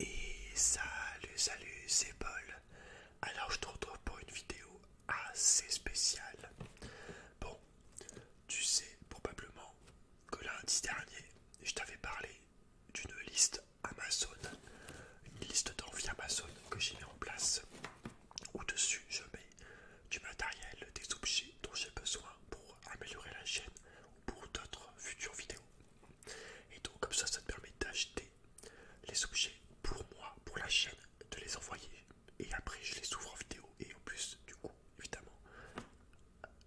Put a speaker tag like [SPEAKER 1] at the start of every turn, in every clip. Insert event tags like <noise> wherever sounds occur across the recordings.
[SPEAKER 1] Et salut, salut, c'est Paul. Alors je te retrouve pour une vidéo assez spéciale. Bon, tu sais probablement que lundi dernier, je t'avais parlé d'une liste Amazon, une liste d'envie Amazon que j'ai mis en place. au dessus je mets du matériel, des objets dont j'ai besoin pour améliorer la chaîne ou pour d'autres futures vidéos. Et donc comme ça, ça te permet d'acheter les objets pour moi, pour la chaîne, de les envoyer. Et après, je les ouvre en vidéo. Et en plus, du coup, évidemment,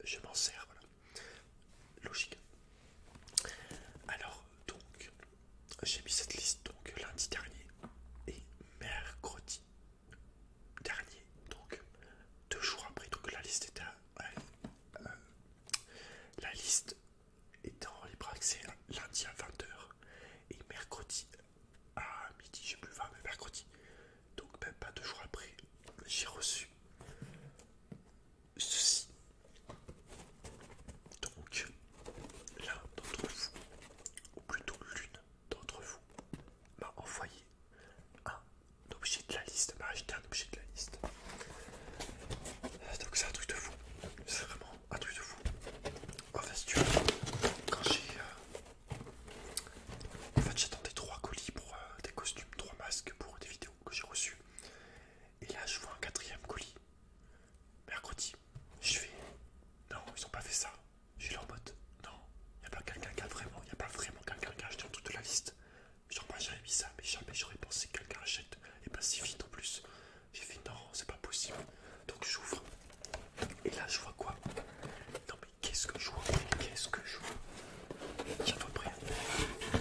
[SPEAKER 1] je m'en sers. Logique. Alors, donc, j'ai mis cette liste donc lundi dernier et mercredi dernier. Donc, deux jours après, donc la liste était euh, la liste en libre accès lundi à 20h et mercredi à midi, j'ai plus 20, mais mercredi. Donc même pas deux jours après, j'ai reçu ceci. Donc l'un d'entre vous, ou plutôt l'une d'entre vous, m'a envoyé un objet de la liste bah, j'ai acheté un objet de la liste. Donc c'est un truc de fou. C'est vraiment un truc de fou. En fait tu veux, quand j'ai... Euh, en fait j'attendais trois colis pour euh, des costumes, trois masques pour des vidéos que j'ai reçues. Et là je vois un quatrième colis. Mercredi. Je fais... Non, ils ont pas fait ça. Je leur mode. Non, il n'y a pas quelqu'un qui a vraiment, il n'y a pas vraiment quelqu'un qui a acheté un truc de la liste. Genre, moi j'avais mis ça, mais jamais j'aurais pensé que quelqu'un achète. Et pas si vite en plus. J'ai fait non, c'est pas possible. Donc j'ouvre. Et là, je vois quoi Non, mais qu'est-ce que je vois Qu'est-ce que je vois J'en toi, près. attends,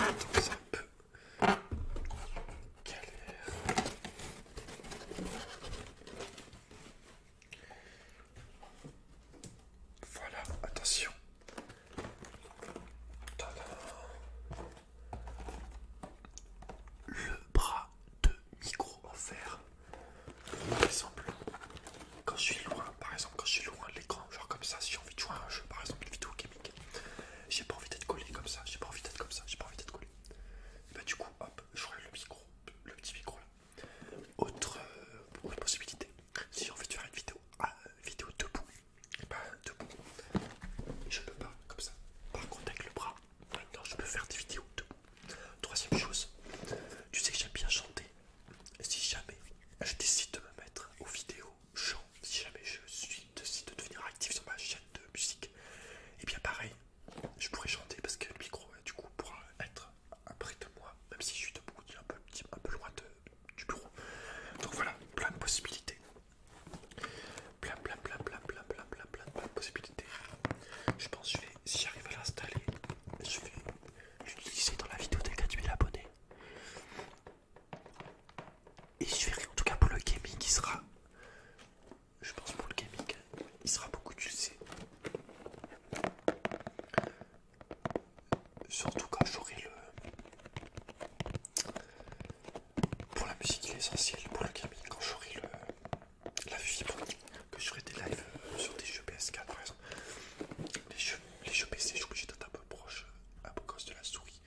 [SPEAKER 1] un peu. Voilà, attention. Le bras de micro en fer. Par exemple, quand je suis loin, par exemple, quand je suis loin de l'écran, genre comme ça, si j'ai envie de jouer à un jeu, par exemple une vidéo chimique. j'ai pas envie d'être collé comme ça, j'ai pas envie d'être comme ça, j'ai pas envie d'être collé. Et bah, du coup, hop, je le micro, le petit micro là. Euh, autre, possibilité, si j'ai envie de faire une vidéo, ah, vidéo debout, et bah, debout, je peux pas comme ça. Par contre, avec le bras, non, je peux faire des vidéos debout. Troisième chose, tu sais que j'aime bien chanter. Si jamais je décide de me mettre aux vidéos chant, si jamais je suis décide de devenir actif sur ma chaîne de musique, et eh bien pareil, je pourrais chanter parce que le micro euh, du coup pourra être à près de moi, même si je suis debout, un peu, un peu loin du bureau. Donc voilà, plein de possibilités. Plein, plein, plein, plein, plein, plein, plein, plein, plein de possibilités. Je pense que je vais, si j'arrive à l'installer, je vais l'utiliser dans la vidéo des 4000 abonnés. Et je verrai en tout cas pour le gaming qui sera je pense pour le gaming, il sera beaucoup utilisé. Surtout quand j'aurai le... Pour la musique, il est essentiel. Pour le gaming, quand j'aurai le... la fibre, que j'aurai des lives euh, sur des jeux PS4 par exemple. Les jeux, les jeux PC, je suis obligé d'être un peu proche euh, à cause de la souris.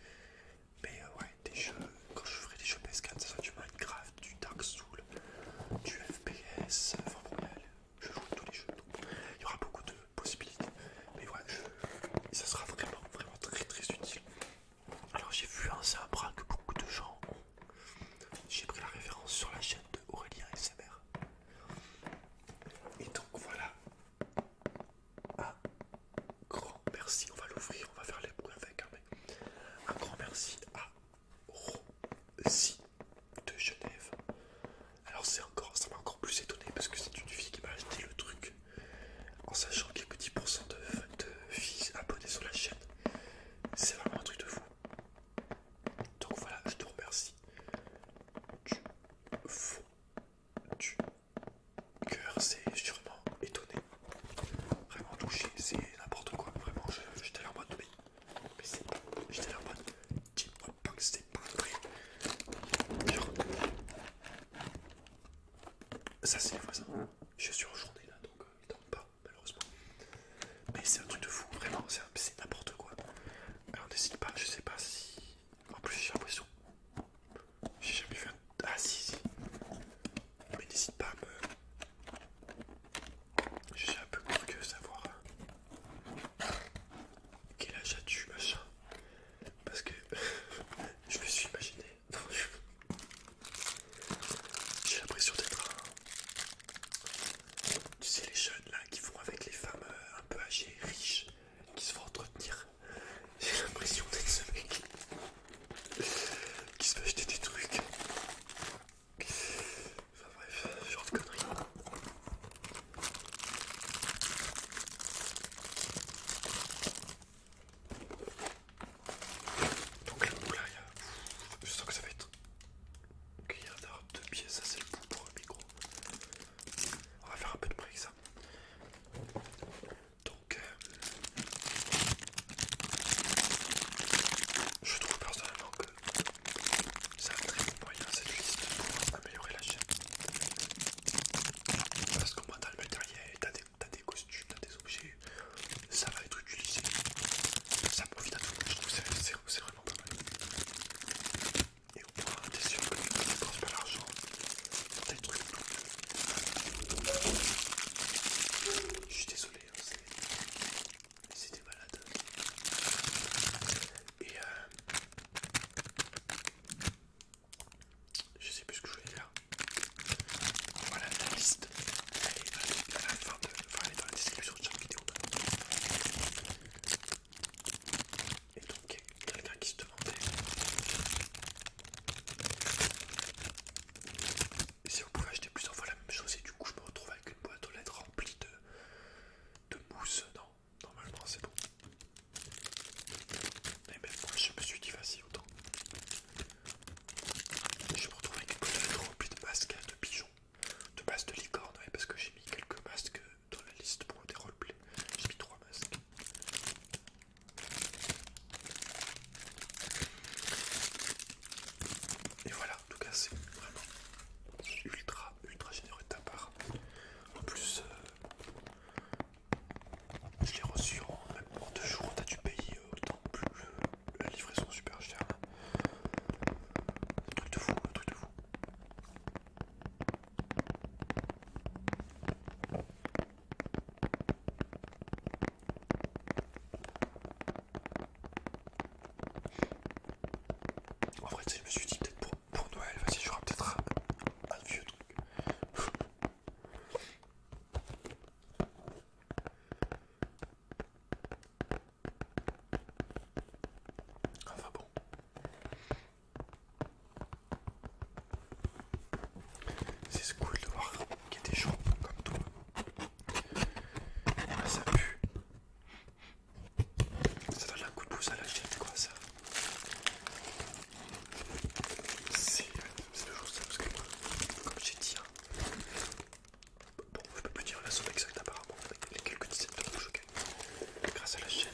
[SPEAKER 1] Mais euh, ouais, des jeux, quand je ferai des jeux PS4, ça sera du Minecraft, du Dark Souls, du FPS, enfin euh, je joue tous les jeux, donc il y aura beaucoup de possibilités. Mais ouais, ça sera vraiment, vraiment très très utile. Alors j'ai vu un Zabra que beaucoup de gens ont. J'ai pris la référence sur la chaîne de Aurélien SMR. Et donc voilà un ah, grand merci, on va l'ouvrir, on va faire les bruits avec, hein, un grand merci à Rosie de Genève. Alors c'est encore, ça m'a encore plus étonné parce que c'est une fille qui m'a acheté le truc en sachant qu'il y a que 10% de, de filles abonnées sur la chaîne. C'est vraiment un truc de fou. Donc voilà, je te remercie Tu tu fous cœur c'est sûrement étonné, vraiment touché, c'est n'importe quoi, vraiment j'étais là en mode mais, mais c'est pas, j'étais en mode pas pas vrai. Genre, ça c'est les voisins, je suis en journée là donc euh, il ne pas malheureusement. Mais c'est un truc de fou, vraiment, c'est n'importe quoi. Alors décide pas, je sais pas si... En plus j'ai l'impression j'ai jamais vu un... Ah si, si. Mais n'hésite pas à me... Je suis un peu curieux de savoir euh, quel âge as-tu, machin. Parce que <laughs> je me suis imaginé... <laughs> J'ai l'impression d'être un... Tu sais, les jeunes là qui vont avec les femmes euh, un peu âgées, riches, qui se font entretenir j'ai l'impression d'être ce mec qui se fait acheter des trucs. Enfin bref, genre de conneries. Donc la boule là, je sens que ça va être... Ok, il y a deux pièces, ça c'est le bout pour un micro. On va faire un peu de bruit avec ça. Donc, euh, je trouve personnellement que c'est un très bon moyen cette liste pour améliorer la chaîne. Parce qu'au moins t'as le matériel, t'as des, costumes, t'as des objets, ça va être utilisé. Ça profite à tout le je trouve que c'est vraiment pas mal. Et au moins t'es sûr que tu ne pas l'argent dans des trucs je suis désolé, hein, c'était malade. Et euh, je sais plus ce que je voulais dire. Voilà la liste. elle est dans la description de chaque vidéo. Bah. Et donc, quelqu'un qui se demandait si on pouvait acheter plusieurs fois la même chose, et du coup, je me retrouve avec une boîte aux lettres remplie de, mousse. Non, normalement, c'est bon. mais même moi, je me suis dit, vas-y, autant. Je me retrouve avec une boîte aux lettres remplie de masques hein, de pigeons, de masques de licorne, parce que j'ai mis quelques masques dans la liste pour des roleplays. J'ai mis trois masques. Et voilà, en tout cas c'est vraiment ultra ultra généreux de ta part. En plus, euh, je l'ai reçu en, même en deux jours, t'as dû payer euh, autant plus euh, la livraison super chère. Un truc de fou, un truc de fou. En vrai, je me suis dit peut-être pour, Noël, vas-y, j'aurai peut-être un, vieux truc. <laughs> Enfin bon, c'est cool de voir qu'il y a des gens comme toi. Ah, ça pue. Ça donne un coup de pouce à la chaîne, quoi, ça. C'est le ça, parce que moi, comme j'ai dit, hein, bon, je peux pas dire la somme exacte apparemment, mais les quelques dizaines de que je grâce à la chaîne.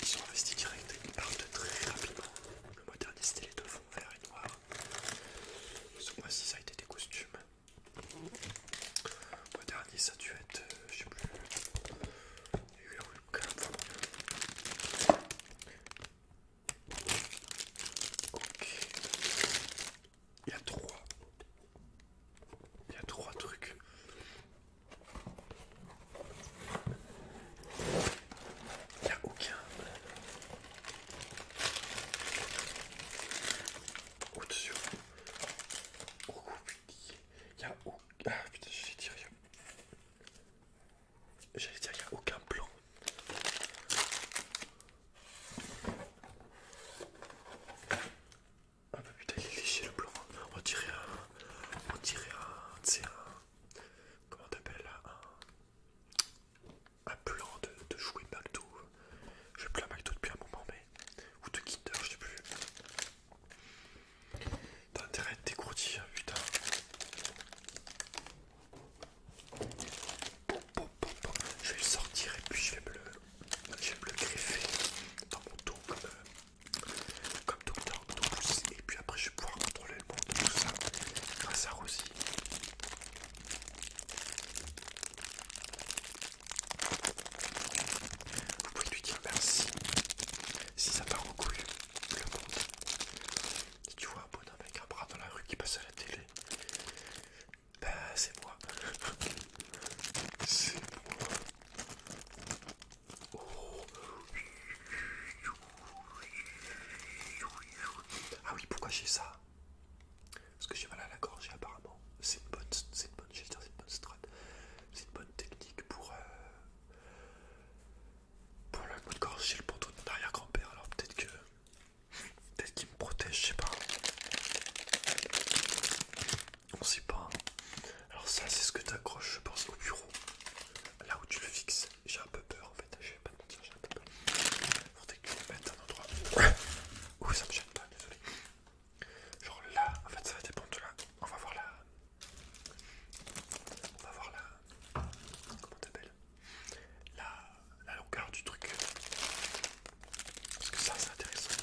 [SPEAKER 1] Ils sont investis direct, ils partent très rapidement. Le mois dernier c'était les deux fonds verts et noirs. Ce mois-ci ça a été des costumes. Le mois dernier ça a dû être, euh, je sais plus, il y a eu un Ok. Il y a trois. Il y a trois trucs. Il a aucun... plan dessus Oh putain. Il a aucun... Ah putain, dit rien J'allais dire, y'a a aucun plan. Ah bah putain, il est léger le plan. On dirait un on dirait un, comment t'appelles, un, plan de, jouer McDo, je plus à McDo depuis un moment, mais, ou de Kinder, je sais plus, t'as intérêt à être putain. Je vais le sortir et puis je vais me je vais me le greffer dans mon dos euh, comme Docteur et puis après je vais pouvoir contrôler le monde tout ça grâce à Rosie. Vous pouvez lui dire merci si ça part en le monde. Si tu vois un bonhomme avec un bras dans la rue qui passe à la télé, bah c'est moi. <laughs> c'est moi. Ah oui, pourquoi j'ai ça Parce que j'ai mal à la gorge et apparemment c'est une bonne, c'est bonne, c'est une bonne strat, c'est une bonne technique pour, euh, pour la de gorge. J'ai le pantalon de mon arrière-grand-père, alors peut-être que, peut-être qu'il me protège, je sais pas on sait pas. Hein. Alors ça c'est ce que t'accroches je pense au bureau, là où tu le fixes. J'ai un peu peur en fait, je vais pas te mentir, j'ai un peu peur. Faudrait que tu un endroit où ça me gêne pas, désolé. Genre là, en fait ça va dépendre de là. On va voir la... On va voir la... Comment t'appelles la... la longueur du truc. Parce que ça c'est intéressant.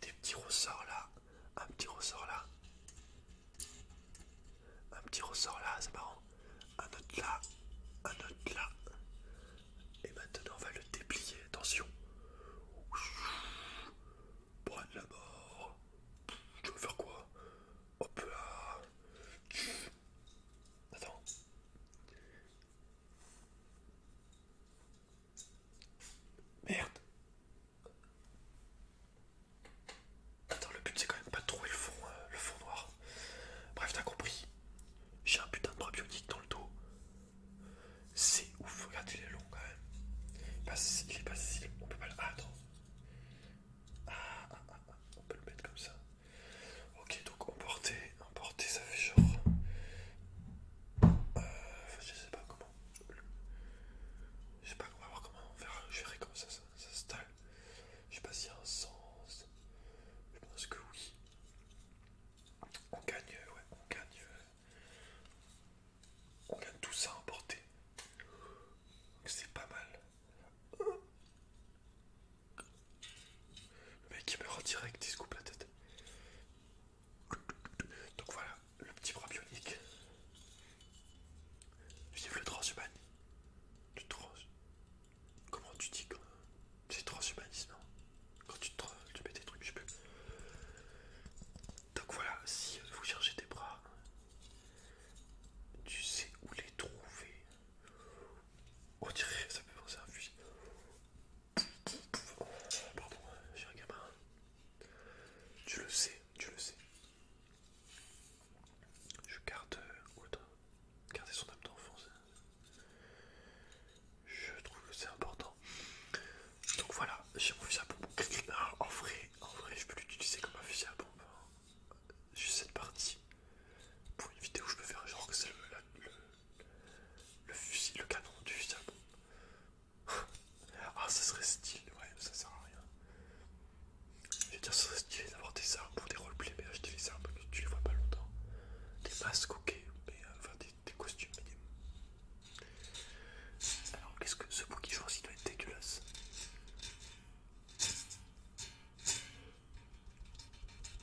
[SPEAKER 1] des petits ressorts là, un petit ressort là, un petit ressort là, c'est marrant, un autre là, un autre là, et maintenant on va le déplier, attention, bois de la mort, tu veux faire quoi Hop là, attends. Merde. Attends, le but c'est quand même pas de trouver le fond, euh, le fond noir. Bref, t'as compris. J'ai un putain de bras bionique dans le dos. C'est ouf, regarde, il est long quand même. Il, est pas si on peut pas le. Ah, attends. Ah, ah, ah, on peut le mettre comme ça. Ok, donc emporter, emporter, ça fait genre. Euh, je sais pas comment je sais pas, on va voir comment on verra, je verrai comment ça s'installe. Je sais pas s'il y a un sens. Je pense que oui. On gagne, euh, ouais, on gagne. Euh, on gagne tout ça à emporter. C'est pas mal. Le mec il meurt en direct, il se coupe la tête. Donc voilà, le petit bras bionique. Vive le transhumanisme. Comment tu dis quand... C'est transhumanisme, non Quand tu, mets des trucs, je sais plus. Donc voilà, si vous cherchez des bras, tu sais où les trouver. On dirait, ça peut penser à un fusil. Pardon, j'ai euh, gamin. Tu le sais, tu le sais. Je garde euh, garder son âme d'enfance. Je trouve que c'est important. Donc voilà, j'ai mon fusil à pompe. en vrai, en vrai, je peux l'utiliser comme un fusil à pompe. J'ai cette partie pour une vidéo, où je peux faire genre que c'est le, fusil, le canon du fusil à pompe ah, ça serait stylé, ouais, ça sert à rien. Je veux dire, ça serait stylé d'avoir des armes pour des roleplays, mais acheter des armes, tu les vois pas longtemps. Des masques, ok, mais euh, enfin des, costumes, Alors, qu'est-ce que ce bookie je il doit être dégueulasse.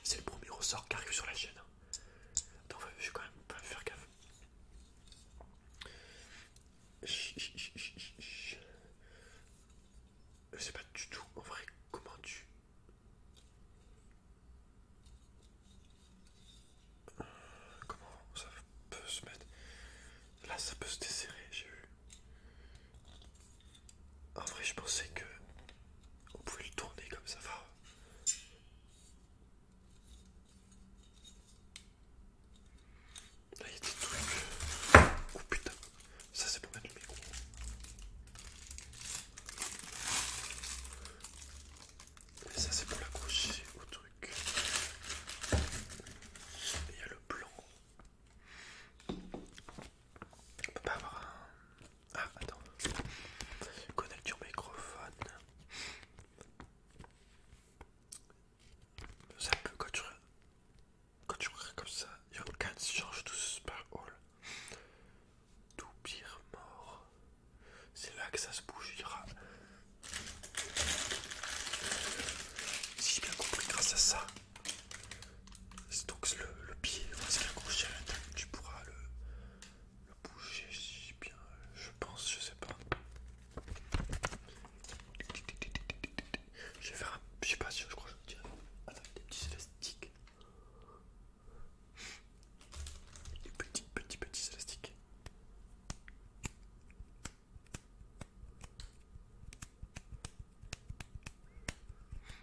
[SPEAKER 1] C'est le premier ressort carré sur la chaîne. donc je vais quand même pas faire gaffe. Je sais pas du tout en vrai comment tu... Comment ça peut se mettre... Là ça peut se desserrer, j'ai vu. En vrai je pensais que... On pouvait le tourner comme ça, Là, il y a des trucs. Oh putain, ça c'est pour mettre le micro. Et ça c'est pour l'accrocher au truc. Il y a le plan. On peut pas avoir un... Ah, attends. Connecte ton microphone. Ça peut, quand tu, quand tu regardes comme ça, Young Can change tout ce par hall. Tout pire mort. C'est là que ça se bougera. Si j'ai bien compris, grâce à ça, c'est donc le, pied, c'est la tu pourras le le bouger, si bien, je pense, je sais pas. Je vais faire un. Je sais pas si je crois que je vais avec des petits élastiques. Des petits, petits, petits élastiques.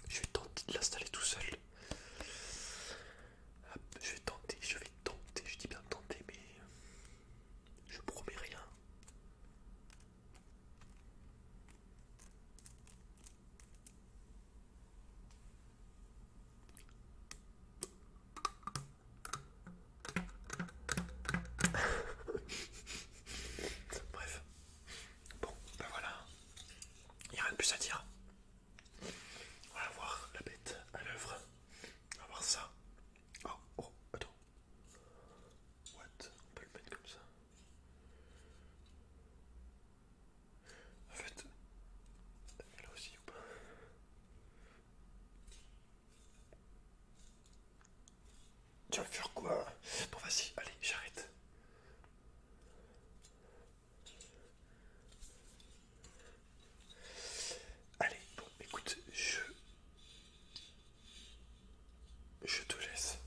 [SPEAKER 1] Je vais tenter de l'installer tout seul. Je vais tenter, je vais tenter, je dis bien tenter, mais je promets rien. <laughs> Bref, bon, ben voilà, il n'y a rien de plus à dire. On va voir la bête à l'œuvre. On va voir ça. Oh, oh, attends. What On peut le mettre comme ça. En fait, elle aussi ou pas Tu vas faire quoi Bon, vas-y, allez, j'arrête. Allez, bon, écoute, je... Je te laisse.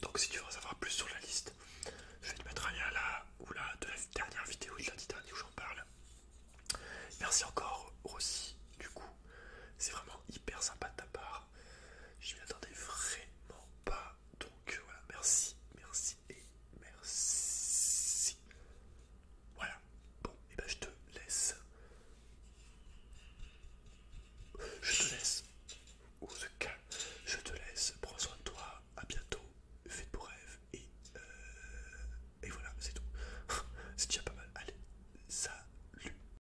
[SPEAKER 1] Donc si tu veux en savoir plus sur la liste, je vais te mettre un lien là ou là de la dernière vidéo de lundi dernier où j'en parle. Merci encore Rossi, du coup, c'est vraiment hyper sympa de ta part. Je m'y attendais vraiment pas. Donc euh, voilà, merci, merci et merci. Voilà. Bon, et eh ben je te laisse. Je te laisse. Ou revoir. cas, je te laisse. Prends soin de toi. À bientôt. Fais de beaux rêves. Et, euh, et voilà, c'est tout. <laughs> c'est déjà pas mal. Allez, salut.